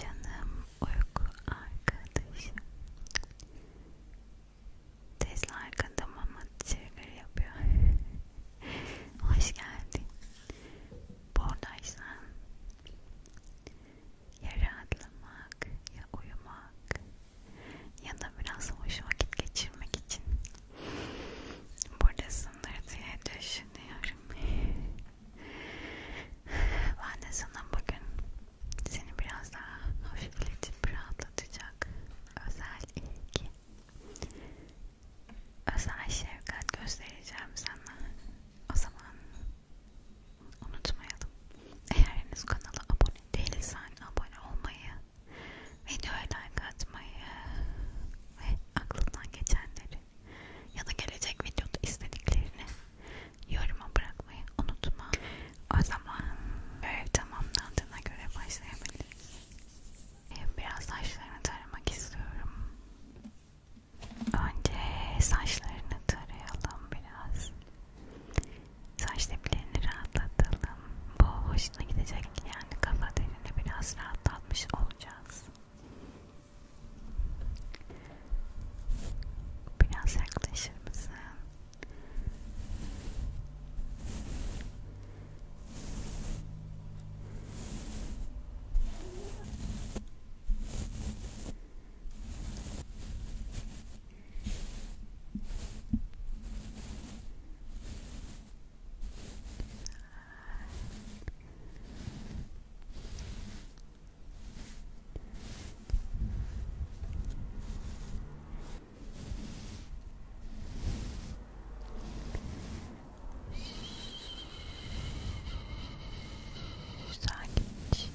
Canım uyku arkadaşım. Tesla arkada mama trigger yapıyor. Hoş geldin. Buradaysan ya rahatlamak ya uyumak ya da biraz hoş vakit geçirmek için buradasındır diye düşünüyorum. Ben de sana bugün seni biraz daha hafifletip rahatlatacak özel ilgi, özel şefkat göstereceğim sana. O zaman unutmayalım. Eğer henüz kanala abone değilsen abone olmayı, videoya like atmayı ve aklından geçenleri ya da gelecek videoda istediklerini yoruma bırakmayı unutma. O zaman görev tamamlandığına göre başlayabiliriz. Ee, biraz saçlarını taramak istiyorum. Önce saçlarını tarayalım biraz. Saç diplerini rahatlatalım. Bu hoşuna gidecek yani kafa derini biraz rahatlatmış olacağız. Biraz yaklaşır mısın? Sakinleş.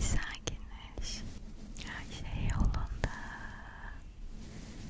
Sakinleş. Her şey yolunda.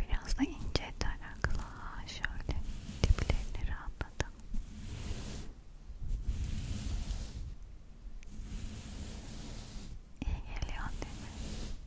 Biraz da ince tarakla şöyle diplerini rahatladım. İyi geliyor değil mi? Şimdi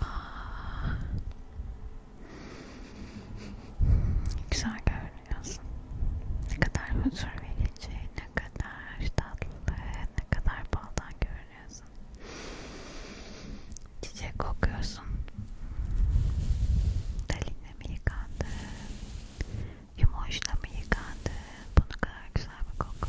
Aa. Güzel görünüyorsun. Ne kadar huzur verici, ne kadar tatlı, ne kadar baldan görünüyorsun. Çiçek kokuyorsun. Dalinle mi yıkandı? Yumoşla mı yıkandı? Bunu kadar güzel bir koku.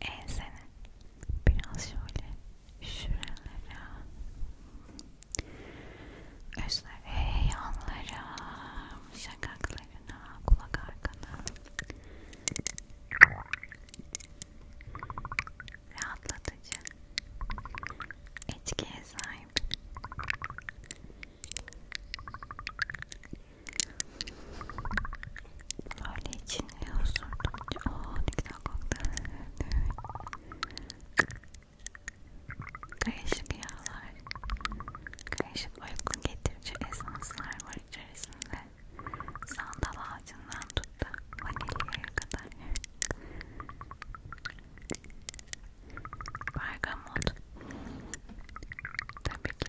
ensene biraz şöyle şuralara özler yanlara şakaklarına kulak arkana rahatlatıcı etkiye sahip Öyle içine osurdum. Ooo ne güzel koktu. Karışık yağlar, karışık uyku getirici esanslar var içerisinde. Sandal ağacından tut da vanilyaya kadar. Bergamot. Tabii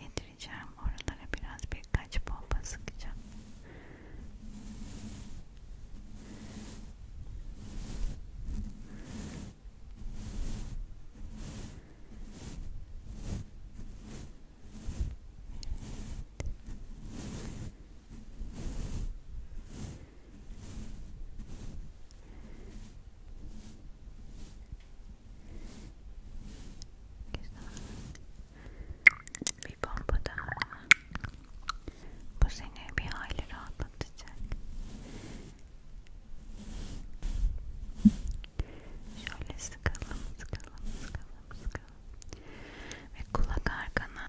yedireceğim. Oralara biraz birkaç bomba sıkacağım. Evet. Bir bomba daha. seni bir hayli rahatlatacak. Şöyle sıkalım, sıkalım, sıkalım, sıkalım. Ve kulak arkana.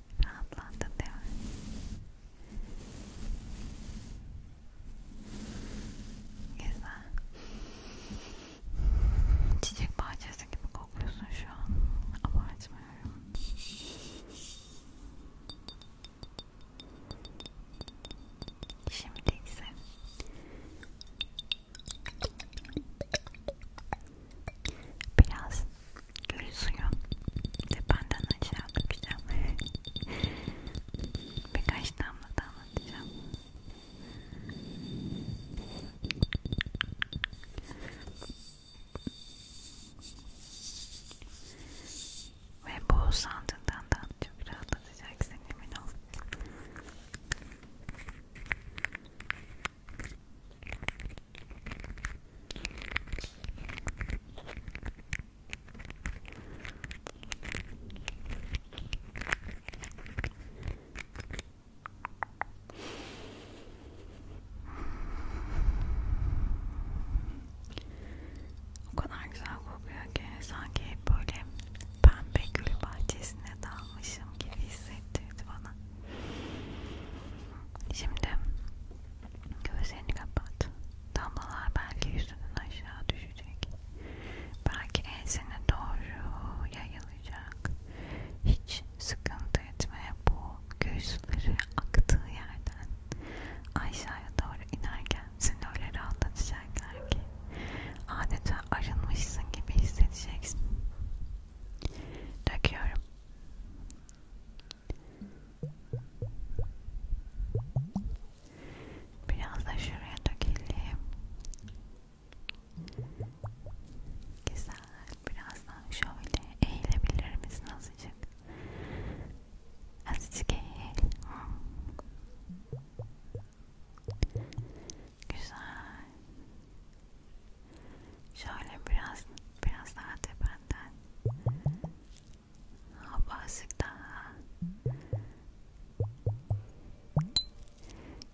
Rahatlandın değil mi? Güzel. Çiçek bahçesi gibi kokuyorsun şu an. Abartmıyorum. Şimdi ise biraz gül suyu tependen aşağı dökeceğim birkaç damla damlatacağım ve bu sandığından da çok rahatlatacaksın emin ol o kadar güzel kokuyor ki sanki hep böyle pembe gül bahçesine dalmışım gibi hissettirdi bana. Şimdi gözlerini kapat. Damlalar belki yüzünden aşağı düşecek. Belki ensene doğru yayılacak. Hiç sıkıntı etme bu gözleri aktığı yerden aşağıya doğru inerken seni öyle rahatlatacaklar ki adeta arınmışsın gibi hissedeceksin. Döküyorum. Biraz da şuraya dökelim. Güzel. Birazdan şöyle eğilebilir misin azıcık? Azıcık eğil. Güzel. Şöyle biraz biraz daha tependen. Ha basık daha.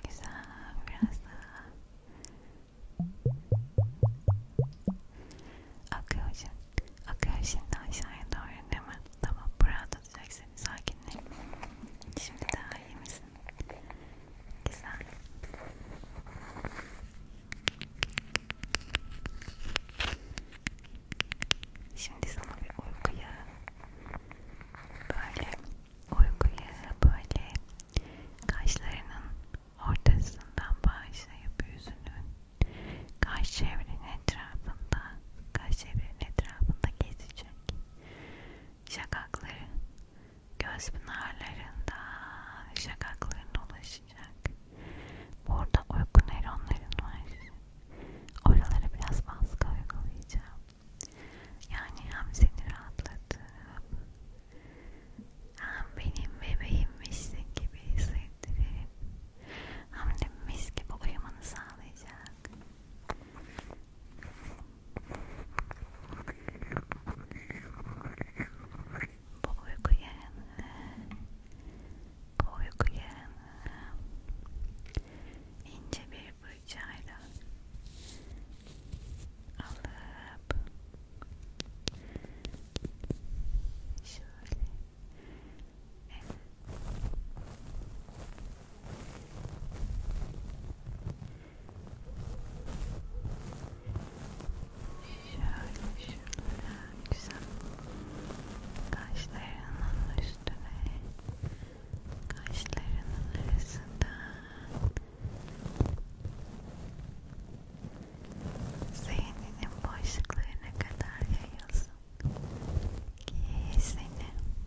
Güzel biraz daha. Akıyor şimdi. Akıyor şimdi aşağıya doğru değil mi? Tamam burada tutacaksın sakinle. Şimdi daha iyi misin? için. Güzel. Şimdi sana bir uykuya böyle uykuya böyle kaşlarının ortasından başlayıp yüzünün kaş çevrenin etrafında kaş çevrenin etrafında gezecek şakakları göz pınarlarından şakaklarına ulaşacak. Burada uyku nöronların var. Oralara biraz baskı uygulayacağım. Yani hem seni rahatlatıp hem benim bebeğimmişsin gibi hissettirip hem de mis gibi uyumanı sağlayacak. Bu uyku yerini, bu uyku yerini ince bir fırçayla alıp şöyle evet. Şöyle şunlara güzel kaşlarının üstüne kaşlarının arasından zihninin boşluklarına kadar yayılsın ki seni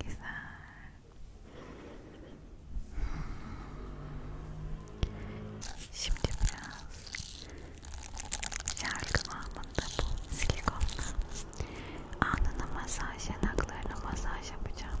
Güzel. Şimdi biraz şarkı anında bu silikonla alnına masaj, yanaklarına masaj yapacağım.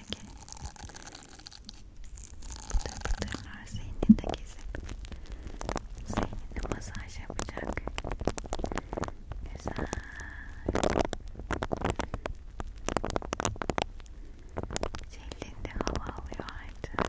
içindeki pıtır pıtırlar zihninde gezip zihnine masaj yapacak güzel cildinde hava alıyor artık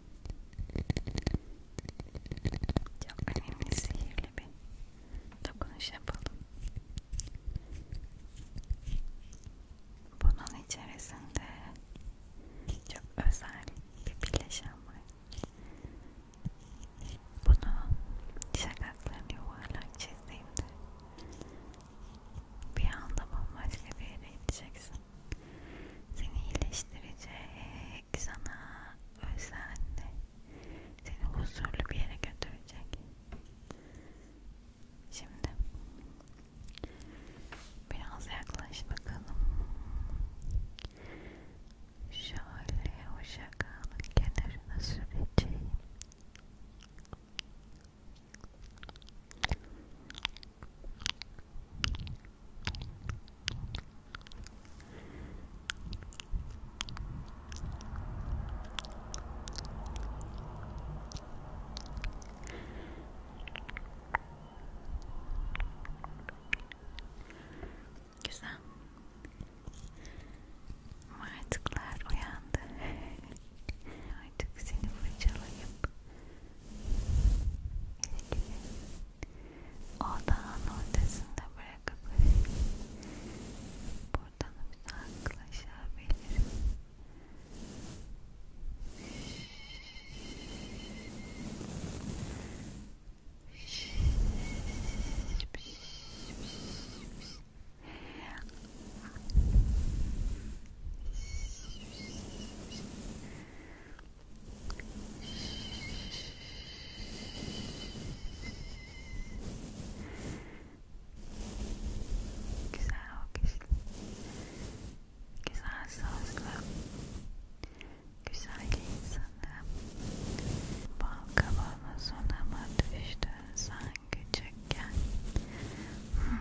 Çok önemli sihirli bir dokunuş yapalım. Bunun içerisinde çok özel bir bileşen var. Bunu şakaklarını yuvarlak çizdiğimde bir anda bambaşka bir yere gideceksin seni iyileştirecek, sana özenle, seni huzurlu bir yere götürecek. Şimdi biraz yaklaş bakalım. Şöyle o şakanın kenarına süreceğim. Güzel. Martıklar uyandı. Artık seni fırçalayıp Odağın ortasında bırakıp buradan uzaklaşabilirim. Güzel alkış, güzel sözlü, güzel insanı, bal kabağına sonuma düştün sen küçükken. Hmm.